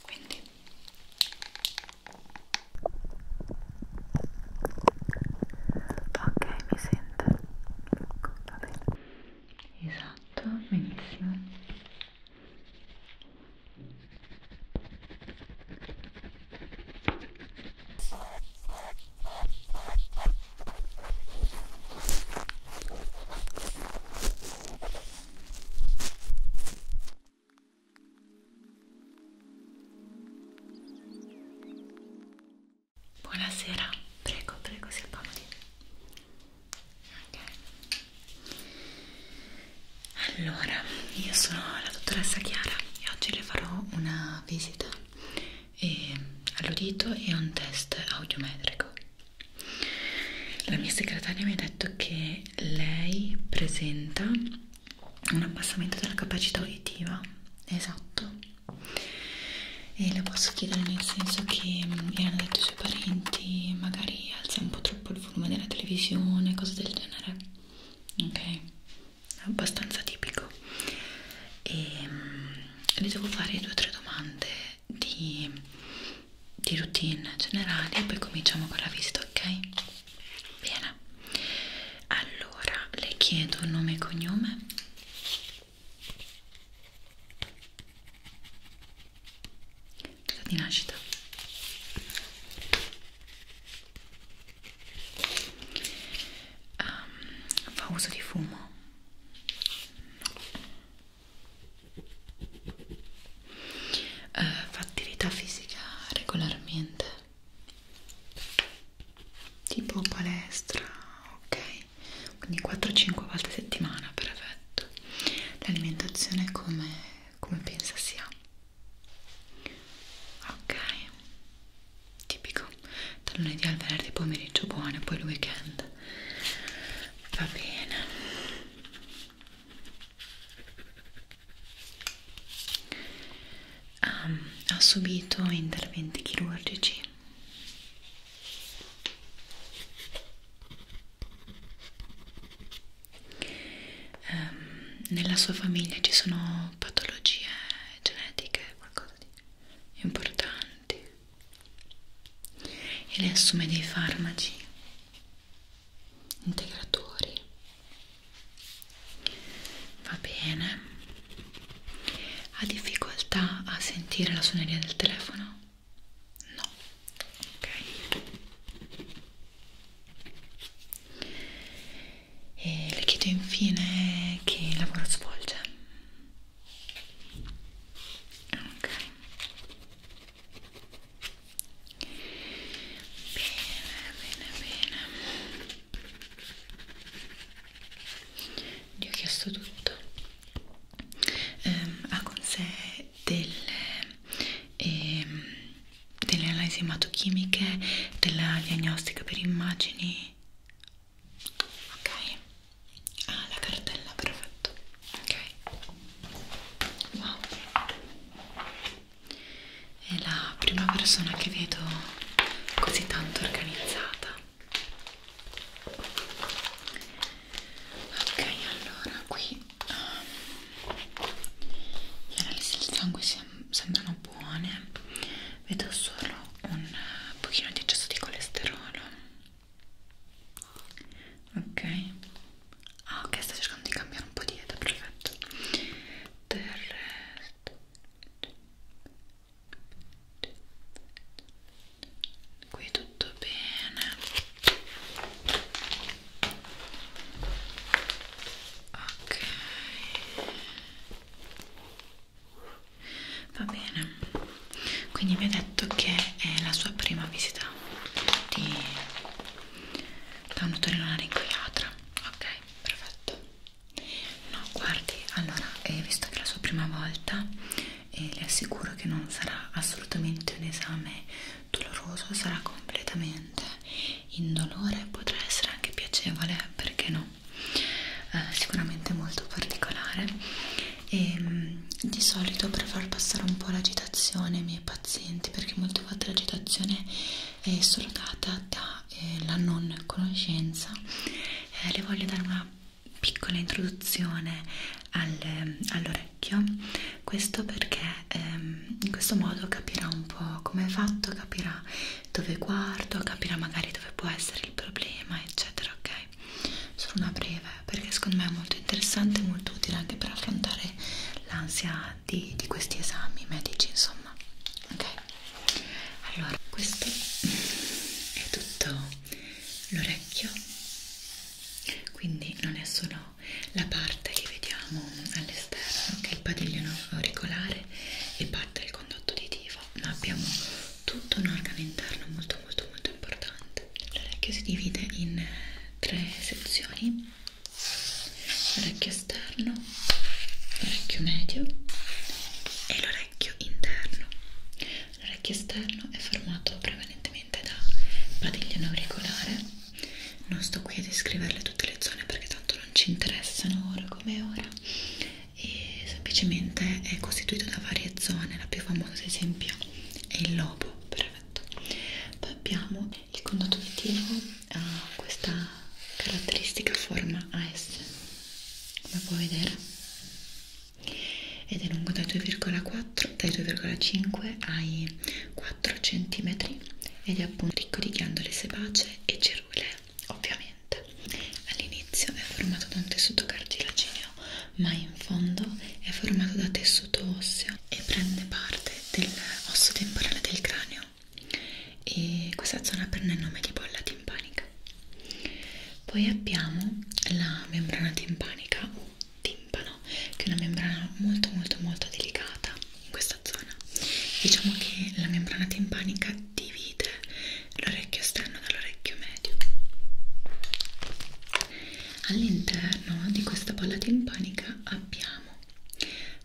quindi ok mi sente va bene esatto benissimo Buonasera, prego, prego, si accomodi. Ok. Allora, io sono la dottoressa Chiara e oggi le farò una visita e ehm, all'udito e un test audiometrico. La mia segretaria mi ha detto che lei presenta un abbassamento della capacità uditiva, esatto, e le posso chiedere nel senso che le mm, hanno detto i suoi parenti, magari alza un po' troppo il volume della televisione, cose del genere, ok? È abbastanza tipico. E ehm, le devo fare due o tre domande di di routine generale e poi cominciamo con la visita, ok? Bene, allora le chiedo nome e cognome. Data di nascita. Um, fa uso di fumo? eh, fa attività fisica regolarmente tipo palestra ok quindi 4-5 volte a settimana perfetto l'alimentazione come, come pensa sia ok tipico dal lunedì al venerdì pomeriggio buono poi il weekend va bene ha, ha subito interventi chirurgici um, nella sua famiglia ci sono patologie genetiche qualcosa di importanti e lei assume dei farmaci integratori va bene ha difficoltà a sentire la suoneria del telefono? no ok e le chiedo infine che lavoro svolge ok bene bene gli ho chiesto tutto ehm, ha con sé delle ehm, delle analisi ematochimiche della diagnostica per immagini ok ah la cartella perfetto ok wow è la prima persona che vedo così tanto organizzata ok allora qui um, gli analisi del sangue sem sembrano buone vedo solo un pochino di eccesso di colesterolo ok Ah, ok, sto cercando di cambiare un po' di dieta, perfetto. Del resto. Qui tutto bene. Ok. Va bene. Quindi mi ha detto che è la sua prima visita di da un otorinolaringolatra ok perfetto no guardi allora eh, visto che è la sua prima volta eh, le assicuro che non sarà assolutamente un esame doloroso sarà completamente indolore potrà essere anche piacevole perché no eh, sicuramente molto particolare e ehm, mh, di solito per far passare un po' l'agitazione ai miei pazienti perché molto certo fatto l'agitazione è solo data dalla eh, non conoscenza eh, le voglio dare una piccola introduzione al, ehm, all'orecchio questo perché ehm, in questo modo capirà un po' come è fatto capirà dove guardo capirà magari dove può essere il problema eccetera ok solo una breve perché secondo me è molto interessante e molto utile anche per affrontare l'ansia di, di questi esami medici insomma ok allora questo è tutto l'orecchio quindi non è solo la parte che vediamo all'esterno che è il padiglione auricolare e parte del condotto uditivo ma abbiamo tutto un organo interno molto molto molto importante l'orecchio si divide in tre sezioni l'orecchio esterno, l'orecchio medio e l'orecchio interno. L'orecchio esterno è formato prevalentemente da padiglione auricolare. Non sto qui a descriverle tutte le zone perché tanto non ci interessano ora come ora. E semplicemente è costituito da varie zone, la più famosa ad esempio è il lobo, perfetto. Poi abbiamo il condotto vittivo ha ah, questa caratteristica forma AS come puoi vedere ed è lungo dai 2,4 dai 2,5 ai 4 cm ed è appunto ricco di ghiandole sebacee e cerule ovviamente all'inizio è formato da un tessuto cartilagineo ma in fondo è formato da tessuto osseo e prende parte dell'osso temporale del cranio e questa zona prende il nome di bolla timpanica poi abbiamo la membrana timpanica o timpano che è una membrana molto molto molto delicata in questa zona diciamo che la membrana timpanica divide l'orecchio esterno dall'orecchio medio all'interno di questa bolla timpanica abbiamo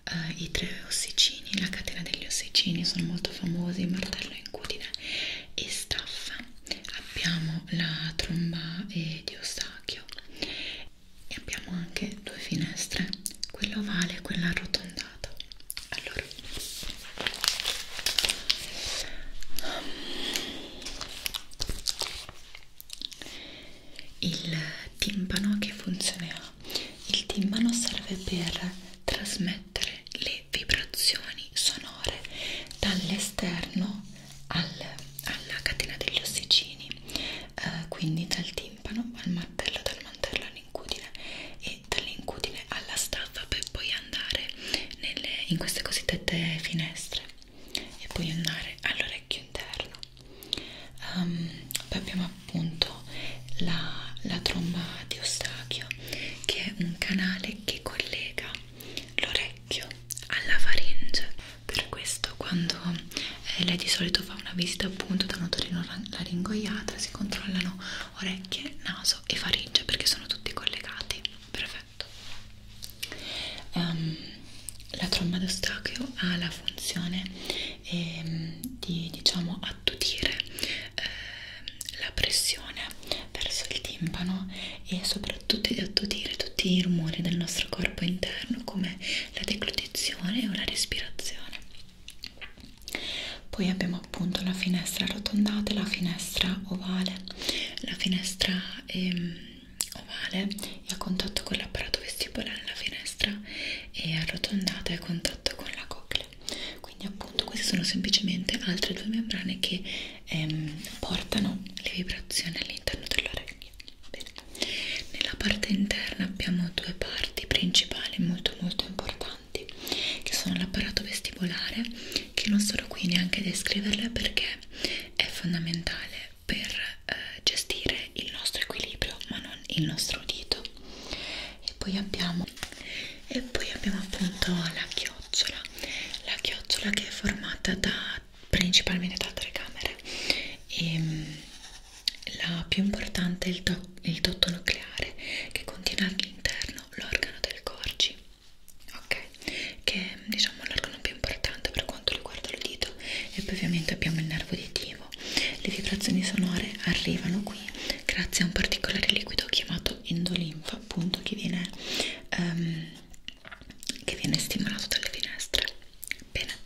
eh, i tre ossicini, la catena degli ossicini sono molto famosi, martello incudine e staffa abbiamo la tromba e di ostacchio e abbiamo anche due finestre quella ovale e quella arrotondata allora il timpano che funzione ha? Il timpano serve per trasmettere le vibrazioni sonore dall'esterno al, alla catena degli ossicini, eh, quindi dal timpano al martello, dal mantello all'incudine e dall'incudine alla staffa per poi andare nelle, in queste cosiddette finestre e poi andare all'orecchio interno um, poi abbiamo appunto la, la tromba di Eustachio che è un canale che collega l'orecchio alla faringe per questo quando eh, lei di solito fa una visita appunto da un otorino laringoiatra si controllano orecchie, naso e faringe perché sono tutti collegati perfetto um, la tromba d'ostacchio ha la funzione e ehm, di diciamo attutire eh, la pressione verso il timpano e soprattutto di attutire tutti i rumori del nostro corpo interno come la declutizione o la respirazione poi abbiamo appunto la finestra arrotondata la finestra ovale la finestra ehm, ovale e a contatto con l'apparato vestibolare la finestra e arrotondata a contatto con la coclea quindi appunto queste sono semplicemente altre due membrane che ehm, portano le vibrazioni all'interno dell'orecchio Bene. nella parte interna abbiamo due parti principali molto molto importanti che sono l'apparato vestibolare che non sono qui neanche a descriverle perché è fondamentale per eh, gestire il nostro equilibrio ma non il nostro udito e poi abbiamo e poi abbiamo appunto la chiocciola la chiocciola che è formata da principalmente da tre camere e ehm, la più importante è il, do, il dotto nucleare che contiene all'interno l'organo del corgi ok che è diciamo l'organo più importante per quanto riguarda l'udito e poi ovviamente abbiamo il nervo di T dicevo, le vibrazioni sonore arrivano qui grazie a un particolare liquido chiamato endolinfa, appunto che viene, um, che viene stimolato dalle finestre. Bene,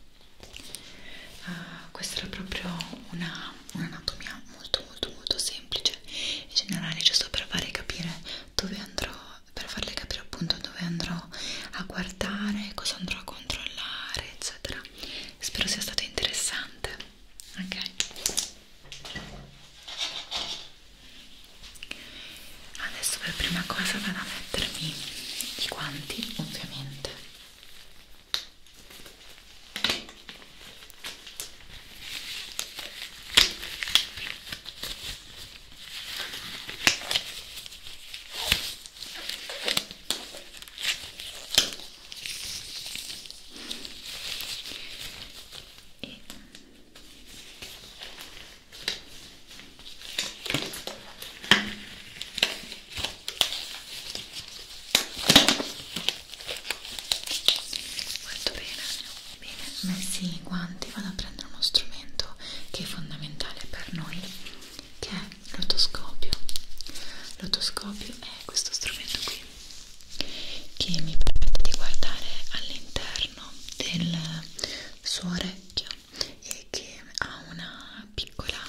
uh, questa era proprio un'anatomia una molto molto molto semplice in generale, giusto per farle capire dove andrò, per farle capire appunto dove andrò a guardare, cosa andrò a controllare, eccetera spero sia stato interessante ok adesso per prima cosa vado a mettermi i guanti ovviamente e molto bene bene messi i guanti vado a prendere uno strumento che è fondamentale per noi che è l'otoscopio l'otoscopio è questo strumento qui che mi permette di guardare all'interno del suo orecchio e che ha una piccola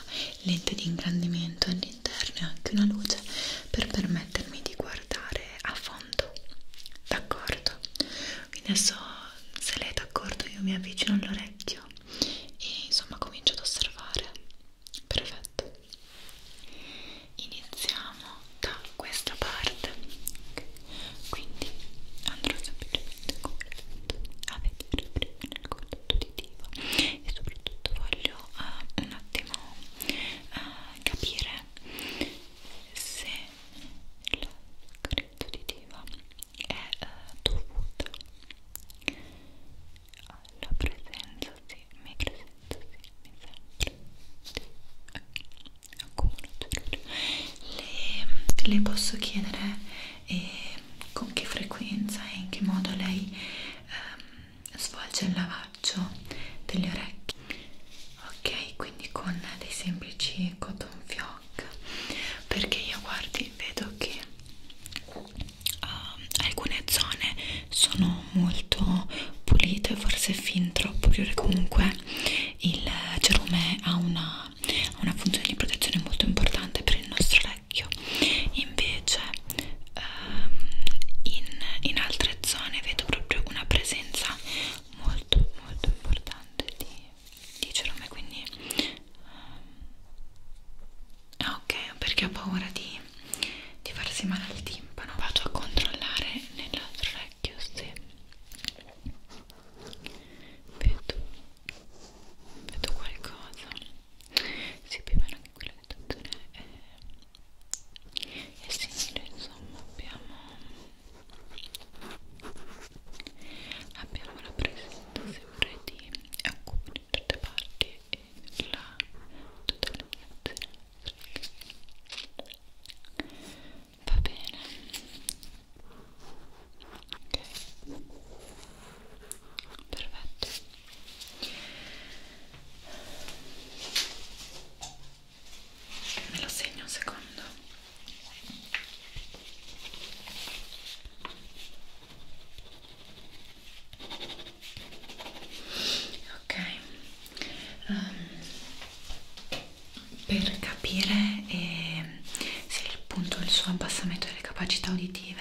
lente di ingrandimento all'interno e anche una luce per permettermi di guardare a fondo d'accordo? quindi adesso se lei è d'accordo io mi avvicino all'orecchio e insomma comincio ad osservare perfetto iniziamo da questa parte quindi andrò semplicemente con a vedere prima nel collo uditivo e soprattutto voglio uh, un attimo uh, capire se la carenza uditiva è uh, dovuta alla presenza sì, mi presenza sì, mi sembra sì, accumulo le, le posso chiedere eh, con che frequenza e in che modo lei ehm, svolge il lavaggio delle orecchie ok quindi con dei semplici cotton fioc perché io guardi vedo che uh, alcune zone sono molto pulite, forse fin troppo pulite, comunque il cerume ha una, ha una funzione di protezione molto importante per il nostro orecchio, invece um, in, in altre zone vedo proprio una presenza molto molto importante di, di cerume, quindi um, Ah, ok perché ho paura di, di farsi male al timpano vado a controllare nell'altro orecchio se vedo, vedo qualcosa sì più o meno anche quella situazione è, è simile insomma abbiamo abbiamo la presenza sempre di occupano in tutte parti e la determinazione va bene ok perfetto me lo segno un secondo ok um, per capire eh, se appunto il suo abbassamento delle capacità uditive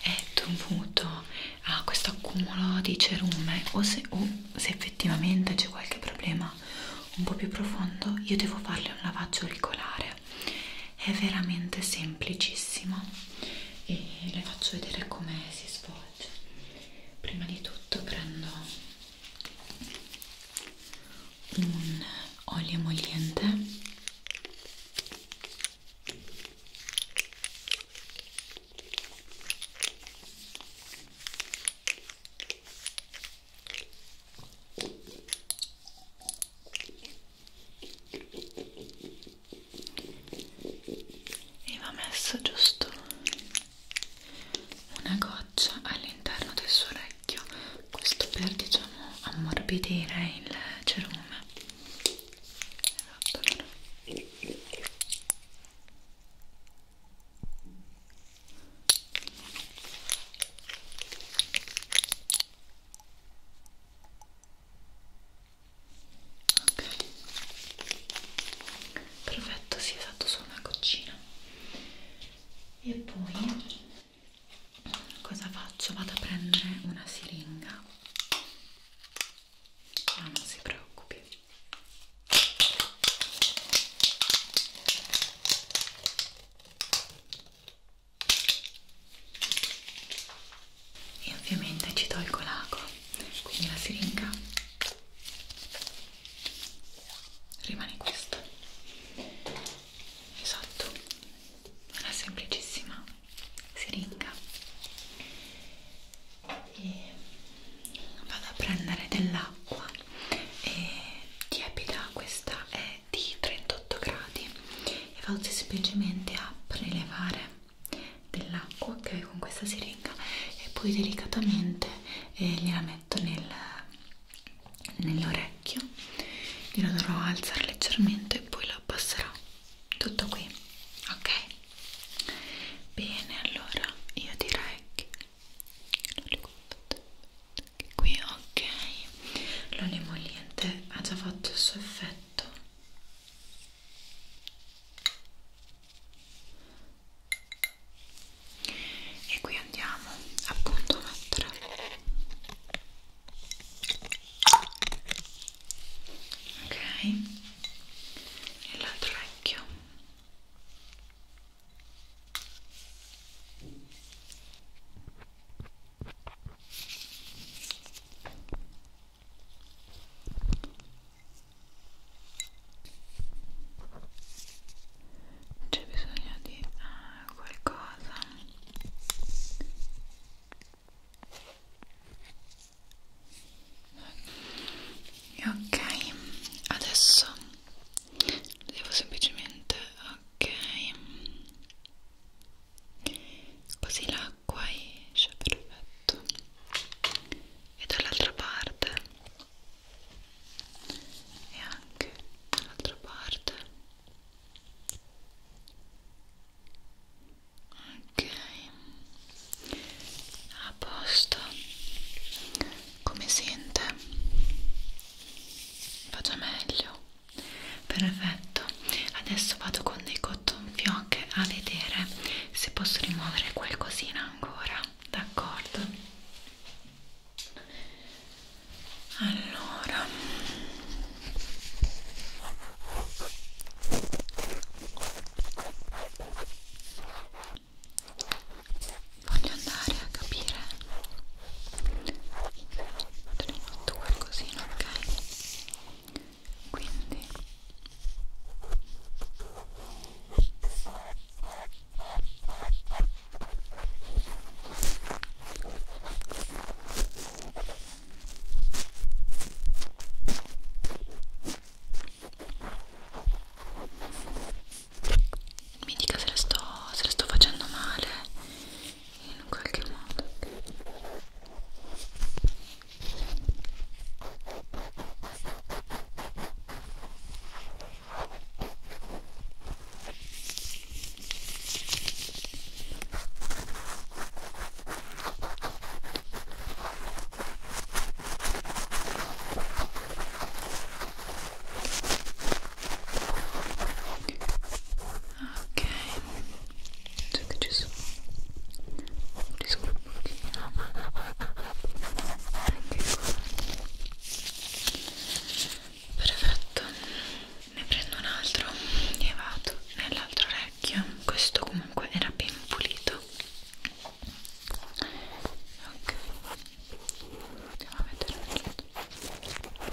è dovuto a questo accumulo di cerume o se, o se effettivamente c'è qualche problema un po' più profondo io devo farle un lavaggio auricolare è veramente semplicissimo e le faccio vedere come si svolge prima di tutto prendo un olio emoliente e va messo giusto una goccia all'interno del suo orecchio questo per diciamo ammorbidire il cerume esatto, allora ok perfetto si sì, è fatto solo una goccina e poi cosa faccio? vado a prendere una siringa ma ah, no, non si preoccupi e ovviamente ci tolgo l'acqua quindi la siringa rimane questa esatto una semplicissima siringa e vado a prendere dell'acqua e tiepida questa è di 38 gradi e vado semplicemente a prelevare dell'acqua che okay, con questa siringa e poi delicatamente eh, gliela metto nel, nell'orecchio gliela dovrò alzare leggermente e poi la passerò tutto qui ok bene allora io direi che qui ok l'olio emolliente ha già fatto il suo effetto e qui andiamo appunto a mettere ok e l'altro orecchio ok c'è bisogno di uh, qualcosa ok adesso devo semplicemente ok così la l'acqua esce perfetto e dall'altra parte e anche dall'altra parte ok a posto come sente vado meglio perfetto adesso vado con dei cotton gonfio anche a vedere se posso rimuovere qualcosina ancora d'accordo allora voglio andare a capire se ho fatto qualcosina ok quindi mi dica se la sto, se la sto facendo male in qualche modo Okay, so I just, just anche qua perfetto ne prendo un altro e vado nell'altro orecchio questo comunque era ben pulito ok andiamo a vedere un ok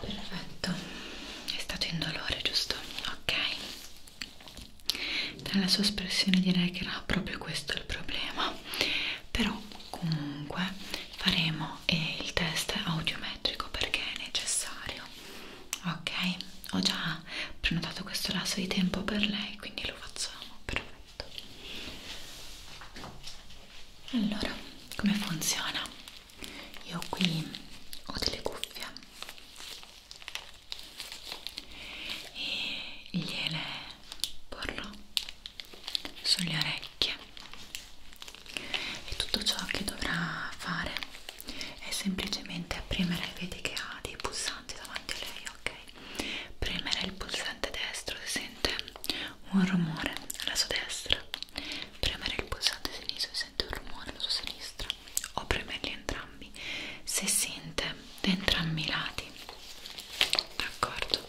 Perfetto, è stato indolore, giusto? Ok, dalla sua espressione direi che era proprio questo il problema, però comunque faremo e il test audiometrico perché è necessario ok ho già prenotato questo lasso di tempo per lei quindi lo facciamo perfetto allora come funziona io qui ho delle cuffie e gliele porlo sulle orecchie e tutto ciò che dovrà fare è semplicemente premere, vedi che ha dei pulsanti davanti a lei, ok? Premere il pulsante destro, si sente un rumore alla sua destra, premere il pulsante sinistro, si sente un rumore alla sua sinistra, o premerli entrambi, se sente da entrambi i lati d'accordo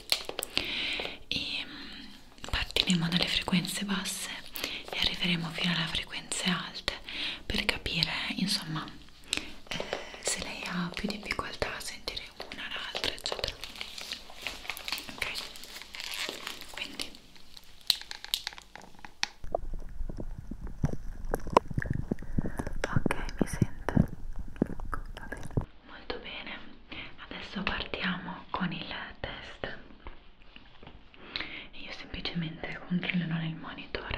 e partiremo dalle frequenze basse e arriveremo fino alle frequenze alte per capire insomma eh, se lei ha più difficoltà a sentire una o l'altra eccetera ok quindi ok mi sento ecco, va bene molto bene adesso partiamo con il test io semplicemente controllerò nel monitor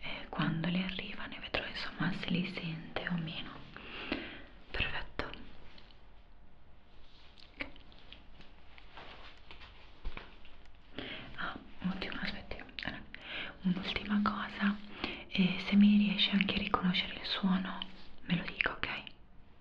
e quando li arrivano vedrò insomma se li sente o meno perfetto ah ottimo aspetti un'ultima cosa e se mi riesce anche a riconoscere il suono me lo dico ok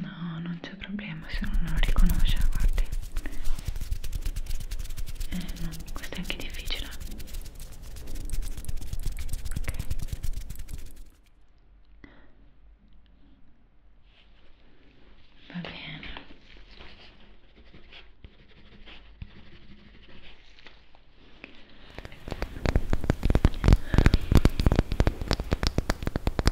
No, non c'è problema se non lo riconosce, guardi. Eh, no, questo è anche difficile. Ok. Va bene.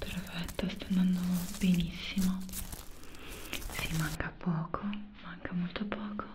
perfetto sta andando benissimo si sì, manca poco manca molto poco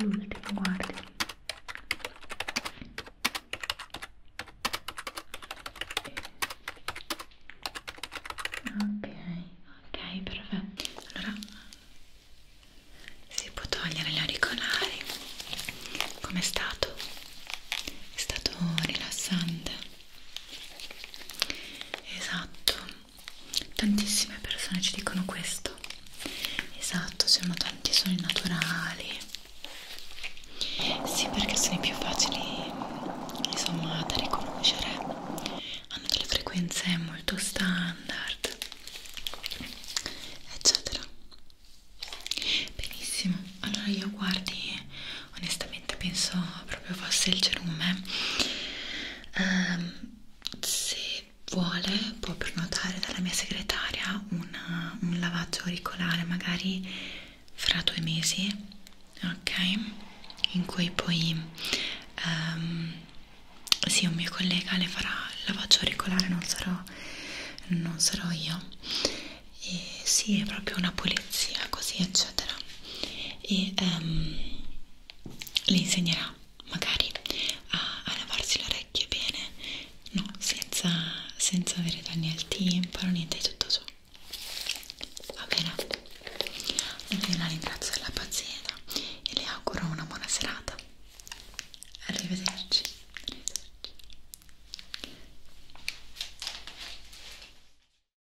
Ehm, l'ultimo guardi ok ok perfetto allora si può togliere gli auricolari com'è stato? è stato rilassante esatto tantissime persone ci dicono questo esatto sono tanti suoni naturali sì perché sono i più facili insomma da riconoscere hanno delle frequenze molto standard eccetera benissimo allora io guardi onestamente penso proprio fosse il cerume um, ehm, se vuole può prenotare dalla mia segretaria una, un lavaggio auricolare magari fra due mesi ok in cui poi um, sì un mio collega le farà il lavaggio auricolare non sarò, non sarò io e sì è proprio una pulizia così eccetera e um, le insegnerà magari a, a lavarsi le orecchie bene, no, senza, senza avere danni al timpano, niente di tutto ciò. Va bene? Io la ringrazio della pazienza e le auguro una buona serata. Arrivederci. Arrivederci.